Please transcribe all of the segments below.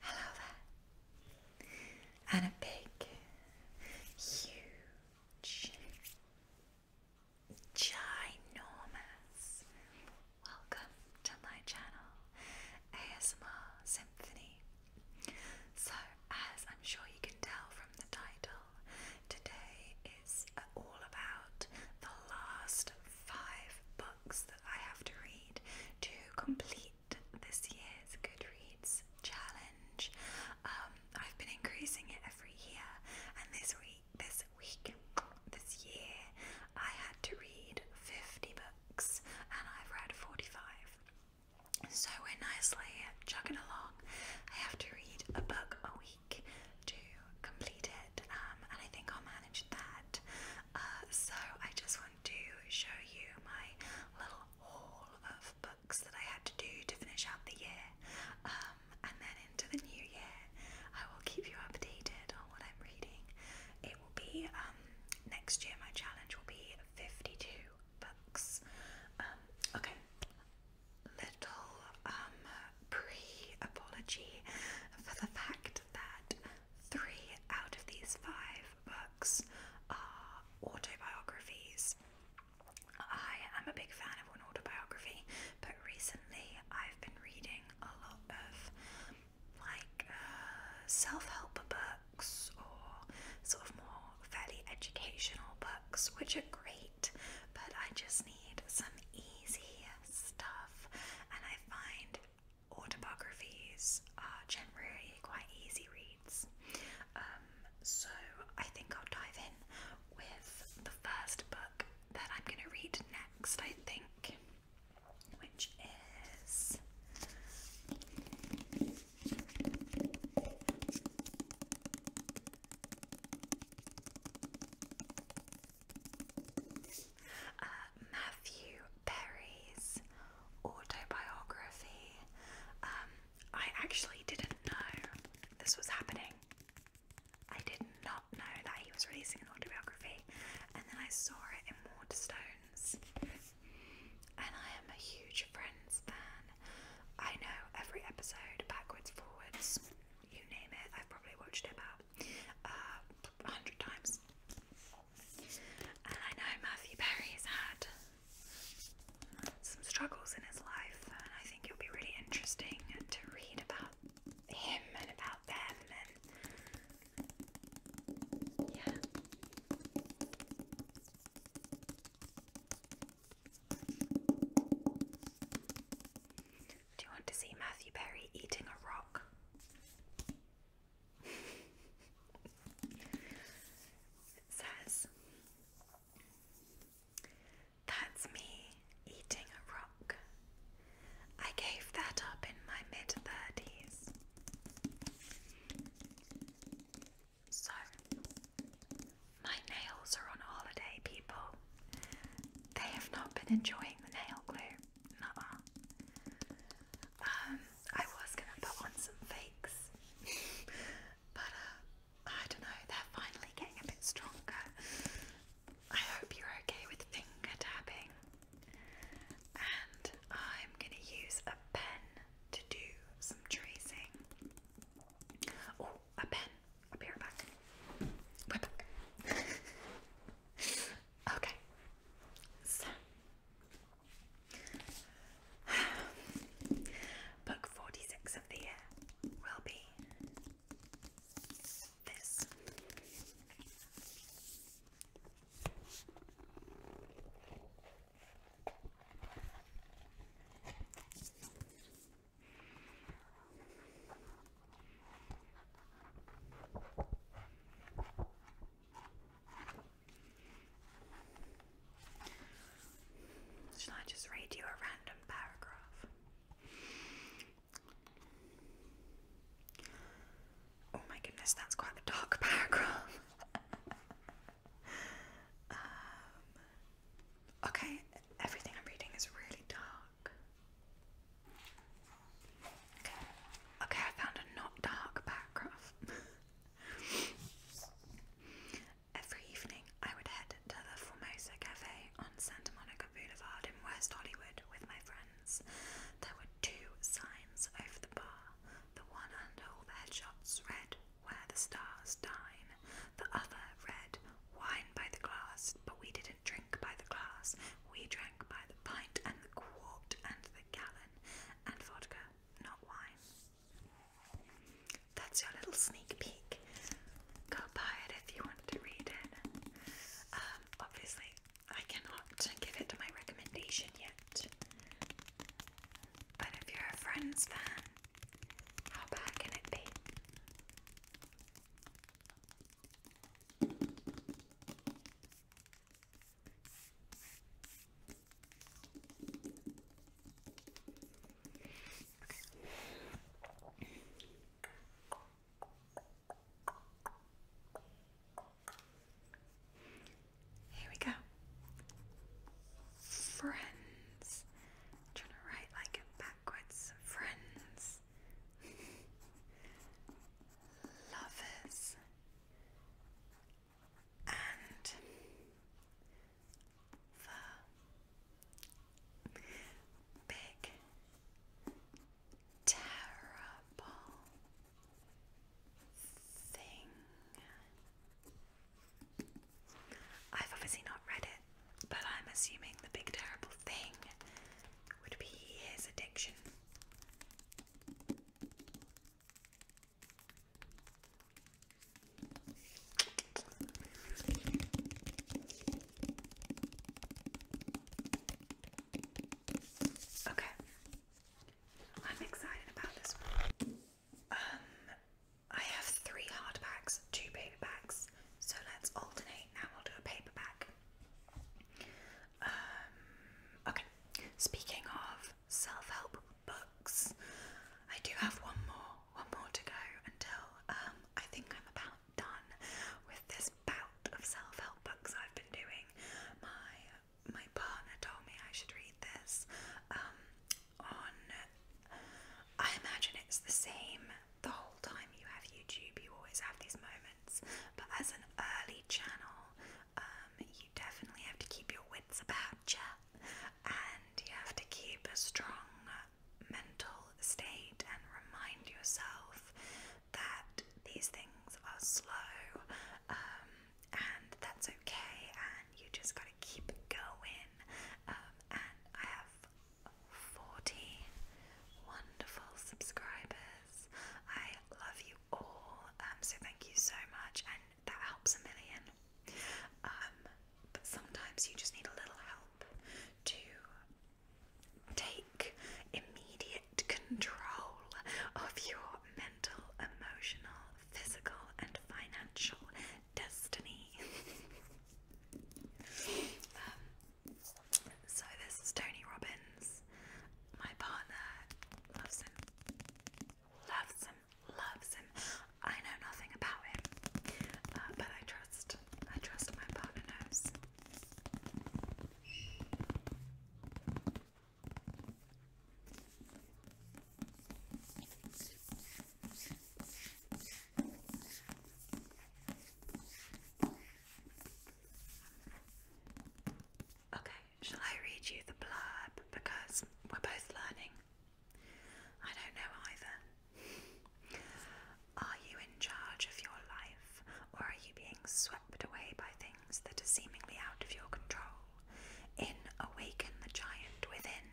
Hello there. And a big, huge, ginormous welcome to my channel, ASMR Symphony. So, as I'm sure you can tell from the title, today is all about the last five books that I have to read to complete this year's Goodreads challenge. Um, I've been increasing it every year, and this week, this week, this year, I had to read 50 books, and I've read 45. So we're nicely chugging along. I have to read a book a week to complete it, um, and I think I'll manage that. Uh, so I just want to show you my little haul of books that I had to do to finish out the year. Um, and then into the new year, I will keep you updated on what I'm reading. It will be um, next year, my challenge will be 52 books. Um, okay. Little pre apology for the fact that Three out of these five books are autobiographies. I am a big fan of an autobiography, but recently I've been reading a lot of like uh, self help books or sort of more fairly educational books, which are great, but I just need some easy stuff, and I find autobiographies are uh, generally quite easy reads. Um, so I think I'll dive in with the first book that I'm going to read next, I think, which is. Uh, Matthew Perry's autobiography. Um, I actually didn't know this was happening. I did not know that he was releasing an autobiography, and then I saw it in Waterstones. And I am a huge Friends fan. I know every episode, backwards, forwards, you name it. I've probably watched it about uh, a hundred times. And I know Matthew Perry's had some struggles in his life, and I think it'll be really interesting to read about him and about them and yeah. Do you want to see Matthew Perry eating a rock? it says, That's me eating a rock. I gave that up in my mid 30s. So, my nails are on holiday, people. They have not been enjoying the nail glue nuh Um, I was gonna put on some fakes, but uh, I don't know, they're finally getting a bit stronger. I hope you're okay with finger tapping, and I'm gonna use a pen to do some tracing. Oh, a pen. I'll be Okay, so book 46 of the year will be this. Shall I just read you a random paragraph? Oh my goodness, that's quite a dark paragraph. Um, okay, everything I'm reading is really dark. Okay, okay, I found a not dark paragraph. Every evening, I would head to the Formosa Cafe on Santa Monica Boulevard in West Hollywood with my friends. There were two signs over the bar. The one under all the headshots read, Where the Stars Dine. The other read, Wine by the Glass, but we did drink by the glass, we drank by the pint and the quart and the gallon, and vodka, not wine. That's your little sneak peek. Go buy it if you want to read it. Um, obviously, I cannot give it my recommendation yet. But if you're a Friends fan, how bad can it be? Here we go. Friends. trying to write like backwards. Friends lovers, and the big, terrible thing. I've obviously not read it, but I'm assuming the big terrible thing would be his addiction. Okay. I'm excited about this Um I have three hard two paper so let's alternate. Now we'll do a paperback. Um, okay, speaking of self help books, I do have one more, one more to go until um, I think I'm about done with this bout of self help books I've been doing. My my partner told me I should read this. Um, on, I imagine it's the same the whole time you have YouTube, you always have these moments. But as an early channel, um, you definitely have to keep your wits about you, and you have to keep a strong mental state and remind yourself that these things are slow, um, and that's okay. And you just gotta keep going. Um, and I have 40 wonderful subscribers. I love you all, um, so thank you so much, and that helps a million. Um, but sometimes you just need a little help to take immediate control of your mental, emotional, physical, and financial destiny. um, so this is Tony Robbins. My partner loves him. Loves him. Loves him. I know nothing about him, uh, but I trust. I trust my partner knows. Okay, shall I read you the blurb because we're both learning? I don't know either. Are you in charge of your life or are you being swept away by things that are seemingly out of your control? In Awaken the Giant Within,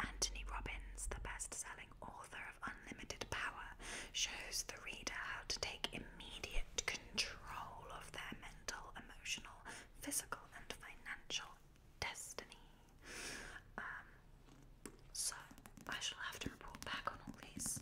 Anthony Robbins, the bestseller author of Unlimited Power, shows the reader how to take immediate control of their mental, emotional, physical, and financial destiny. Um, so I shall have to report back on all these.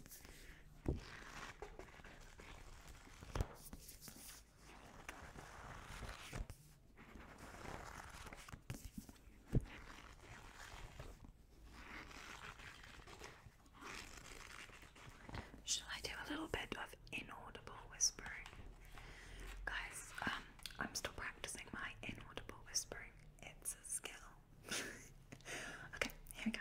Shall I do a little bit of inaudible whispering? Guys, um, I'm still practicing my inaudible whispering. It's a skill. okay, here we go.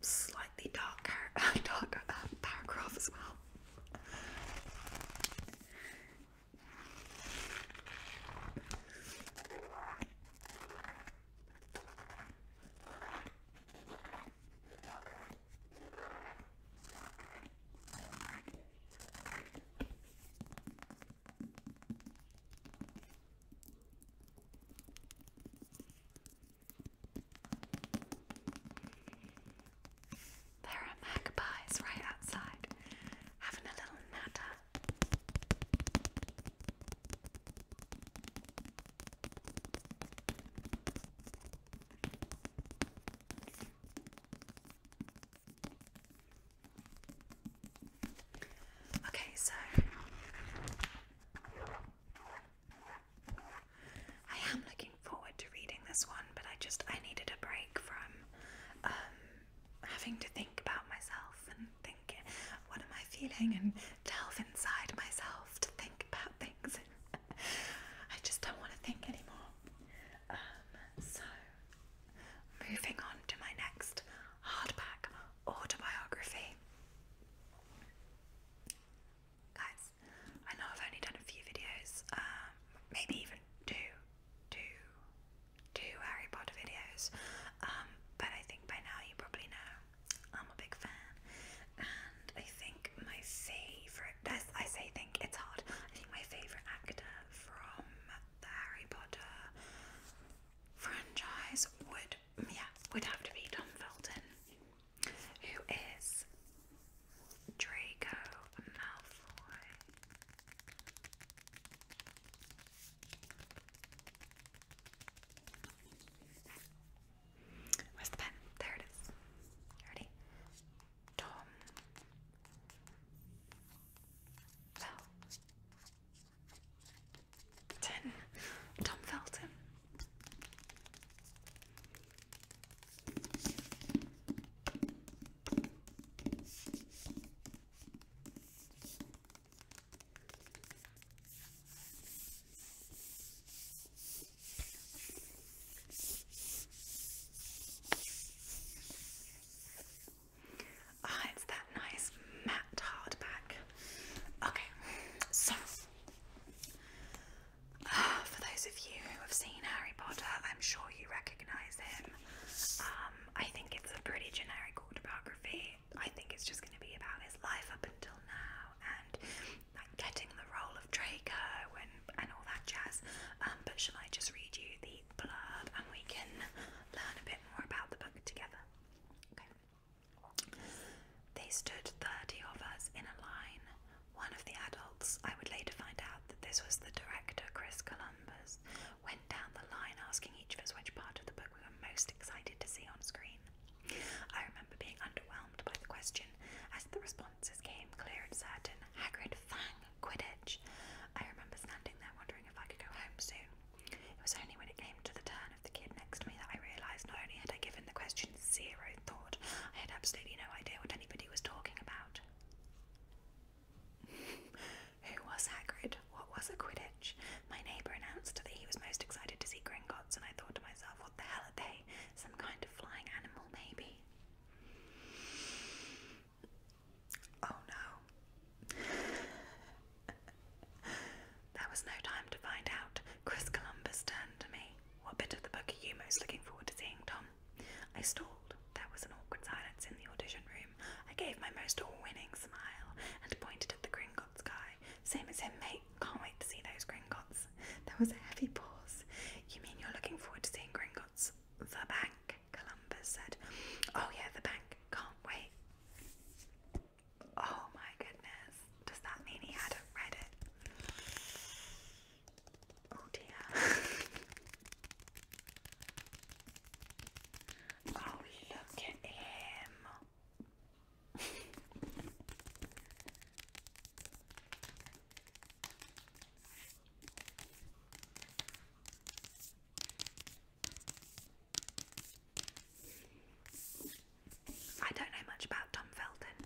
slightly darker, uh, darker uh, paragraph as well. There are magpies right outside having a little natter. Okay, so I am looking forward to reading this one, but I just I needed a break from um, having to think about myself and thinking what am I feeling and delve inside myself to think about things. I just don't want to think anymore. Um, so moving on to my next hardback autobiography. Guys, I know I've only done a few videos, um, maybe even two, two, two Harry Potter videos, um, but I think by now you probably know I'm a big fan, and I think my favourite, I say think, it's hard, I think my favourite actor from the Harry Potter franchise would yeah would have to be Tom Felton, who is Draco Malfoy. Where's the pen? There it is. Ready? Tom Tom Felton. Ah, it's that nice matte hardback. Okay, so ah, for those of you who have seen Harry Potter, I'm sure you recognise him. Um, I think it's a pretty generic autobiography. I think it's just going to be about his life up until now and like getting the role of Draco and and all that jazz. Um, but shall I just read you the blurb and we can learn a bit more about the book together? They stood thirty of us in a line. One of the adults, I would later find out that this was the director, Chris Columbus, went down the line asking each of us which part of the book we were most excited to see on screen. I remember being underwhelmed by the question. As the responses came clear and certain, Hagrid, Fang, Quidditch. I remember standing there wondering if I could go home soon. It was only when it came to the turn of the kid next to me that I realised not only had I given the question zero thought, I had absolutely no idea what anybody was talking about. Who was Hagrid? What was a Quidditch? My neighbour announced that he was most excited to see Gringotts, and I thought to myself, what the hell are they? Some kind of flying animal, maybe? Oh no. there was no time to find out. Chris Columbus turned to me. What bit of the book are you most looking forward to seeing, Tom? I stalled. There was an awkward silence in the audition room. I gave my most all winning smile and pointed at the Gringotts guy. Same as him, mate. Can't wait to see those Gringotts. There was a heavy pause. You mean you're looking forward to seeing Gringotts? The bank. Columbus said. Oh, yeah, the bank. Can't wait. Oh my goodness. Does that mean he hadn't read it? Oh dear. oh, look at him. I don't know much about Tom Felton,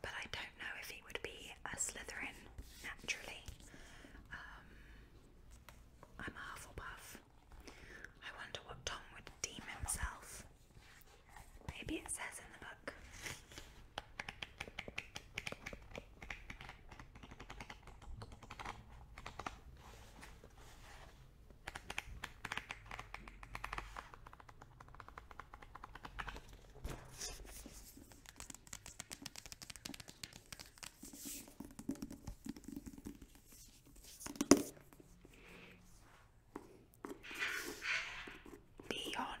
but I don't know if he would be a Slytherin naturally. Um, I'm a Hufflepuff. I wonder what Tom would deem himself. Maybe it says in the book. Beyond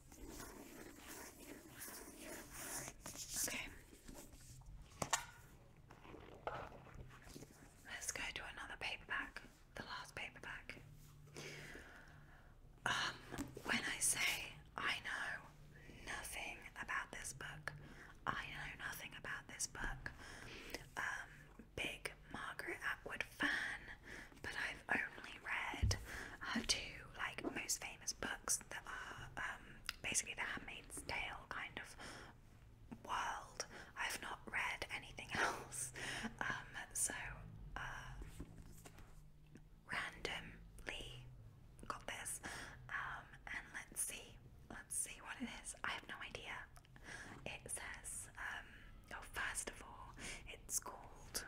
Okay. Let's go to another paperback, the last paperback. Um, when I say I know nothing about this book, I know nothing about this book. Um, big Margaret Atwood fan, but I've only read her two like most famous books that are uh, um, basically the Handmaid's Tale kind of world. I've not read anything else, um, so uh, randomly got this. Um, and let's see, let's see what it is. I have no idea. It says, oh, first of all, it's called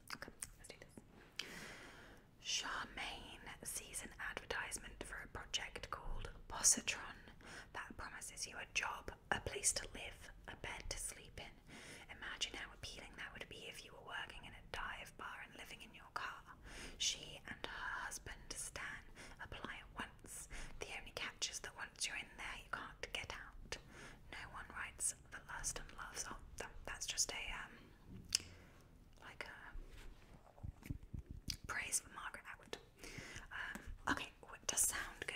Charmaine sees an advertisement for a project called Positron that promises you a job, a place to live, a bed to sleep in. Imagine how appealing that would be if you were working in a dive bar and living in your car. She and her husband, Stan, apply at once. The only catch is that once you're in there, you can't get out. No one writes the lust and love song. Oh, that, that's just a um, like a praise for Margaret Atwood. Um, okay, it does sound good.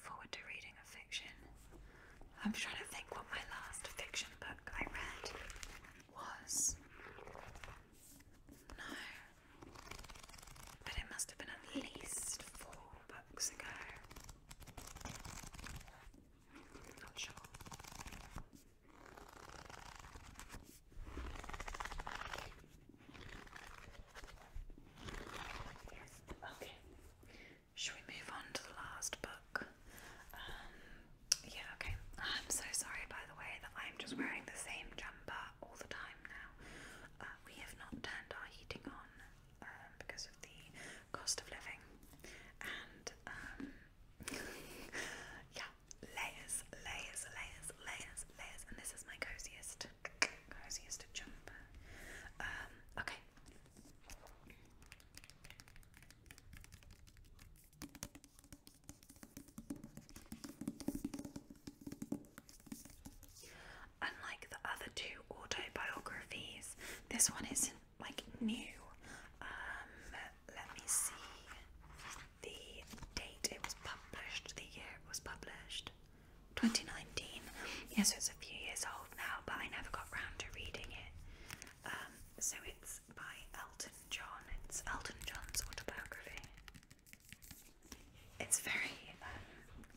forward to reading a fiction. I'm trying to think what my last fiction book I read was. No. But it must have been at least four books ago. Not sure. Okay, should we move on to the last book? Um, yeah, okay. I'm so sorry, by the way, that I'm just wearing the same jumper all the time now. Uh, we have not turned our heating on um, because of the cost of living. And, um, yeah, layers, layers, layers, layers, layers. And this is my coziest, coziest jumper. okay, Unlike the other two autobiographies, this one isn't like new. Um, let me see the date it was published, the year it was published. 2019. Yeah, so it's a few years old now, but I never got round to reading it. Um, so it's by Elton John. It's Elton John's autobiography. It's very um,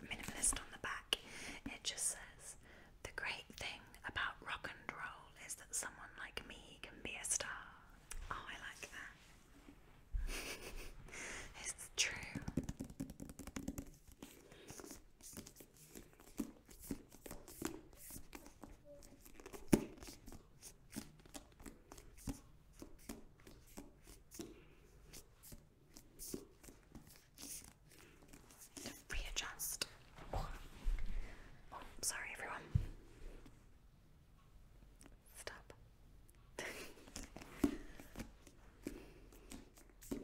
minimalist on the back. It just says, The great thing about rock and roll is that someone like me can be a star. Oh, I like that. it's true. To readjust. oh, sorry, everyone. Stop. Okay.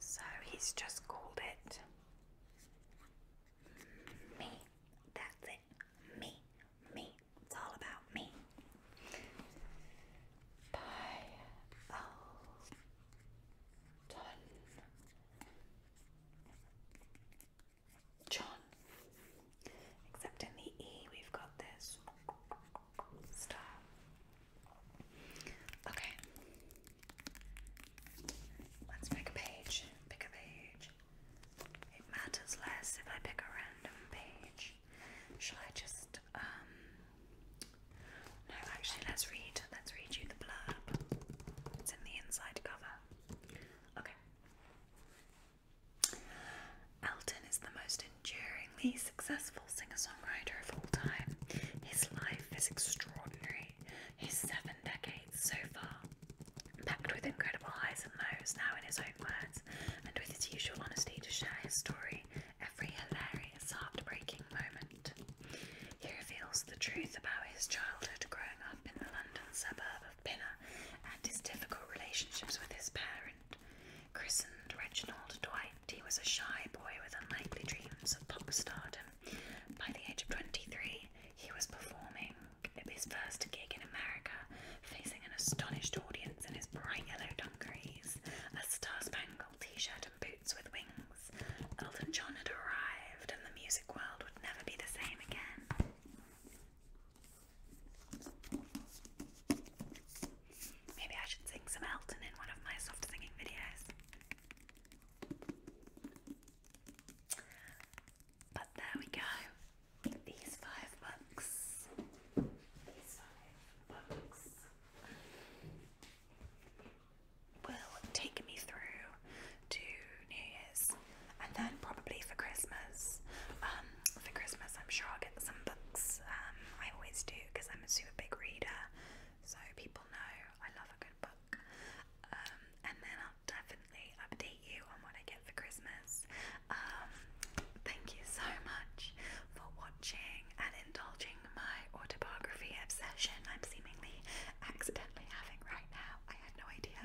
So he's just called it me. That's it. Me. Me. It's all about me. By John. Except in the E, we've got this star. Okay. Let's pick a page. Pick a page. It matters less if I pick a random page. Shall I just, um. No, actually, let's read. Let's read you the blurb. It's in the inside cover. Okay. Elton is the most enduringly successful singer-songwriter of all time. His life is extraordinary. He's seven decades so far, packed with incredible highs and lows, now in his own words, and with his usual honesty to share his story every hilarious, heartbreaking moment. He reveals the truth about his childhood growing up in the London suburb of Pinner and his difficult relationships with his parent. Christened Reginald Dwight, he was a shy boy with unlikely dreams of pop stardom. By the age of 23, he was performing at his first gig in America, facing an astonished audience in his bright yellow dungarees, a star spangled t shirt, and boots with wings. Elton John had arrived, and the music world never be the same again. Maybe I should sing some Elton in one of my soft singing videos. But there we go. These five books will take me through to New Year's and then probably for Christmas. Um, for Christmas, I'm sure I'll get some books. Um, I always do because I'm a super big reader, so people know I love a good book. Um, and then I'll definitely update you on what I get for Christmas. Um, thank you so much for watching and indulging my autobiography obsession I'm seemingly accidentally having right now. I had no idea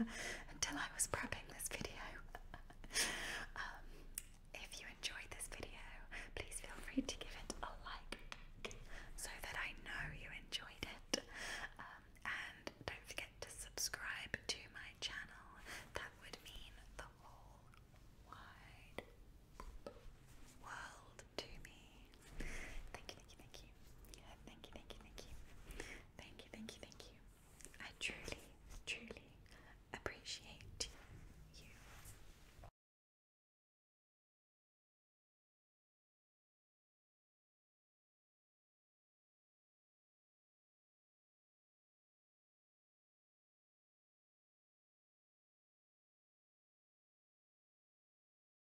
until I was prepping this video. Um, if you enjoyed this video, please feel free to give it a like so that I know you enjoyed it. Um, and don't forget to subscribe to my channel, that would mean the whole wide world to me. Thank you, thank you, thank you you. Thank you, thank you, thank you. Thank you, thank you, thank you. I truly, truly appreciate you.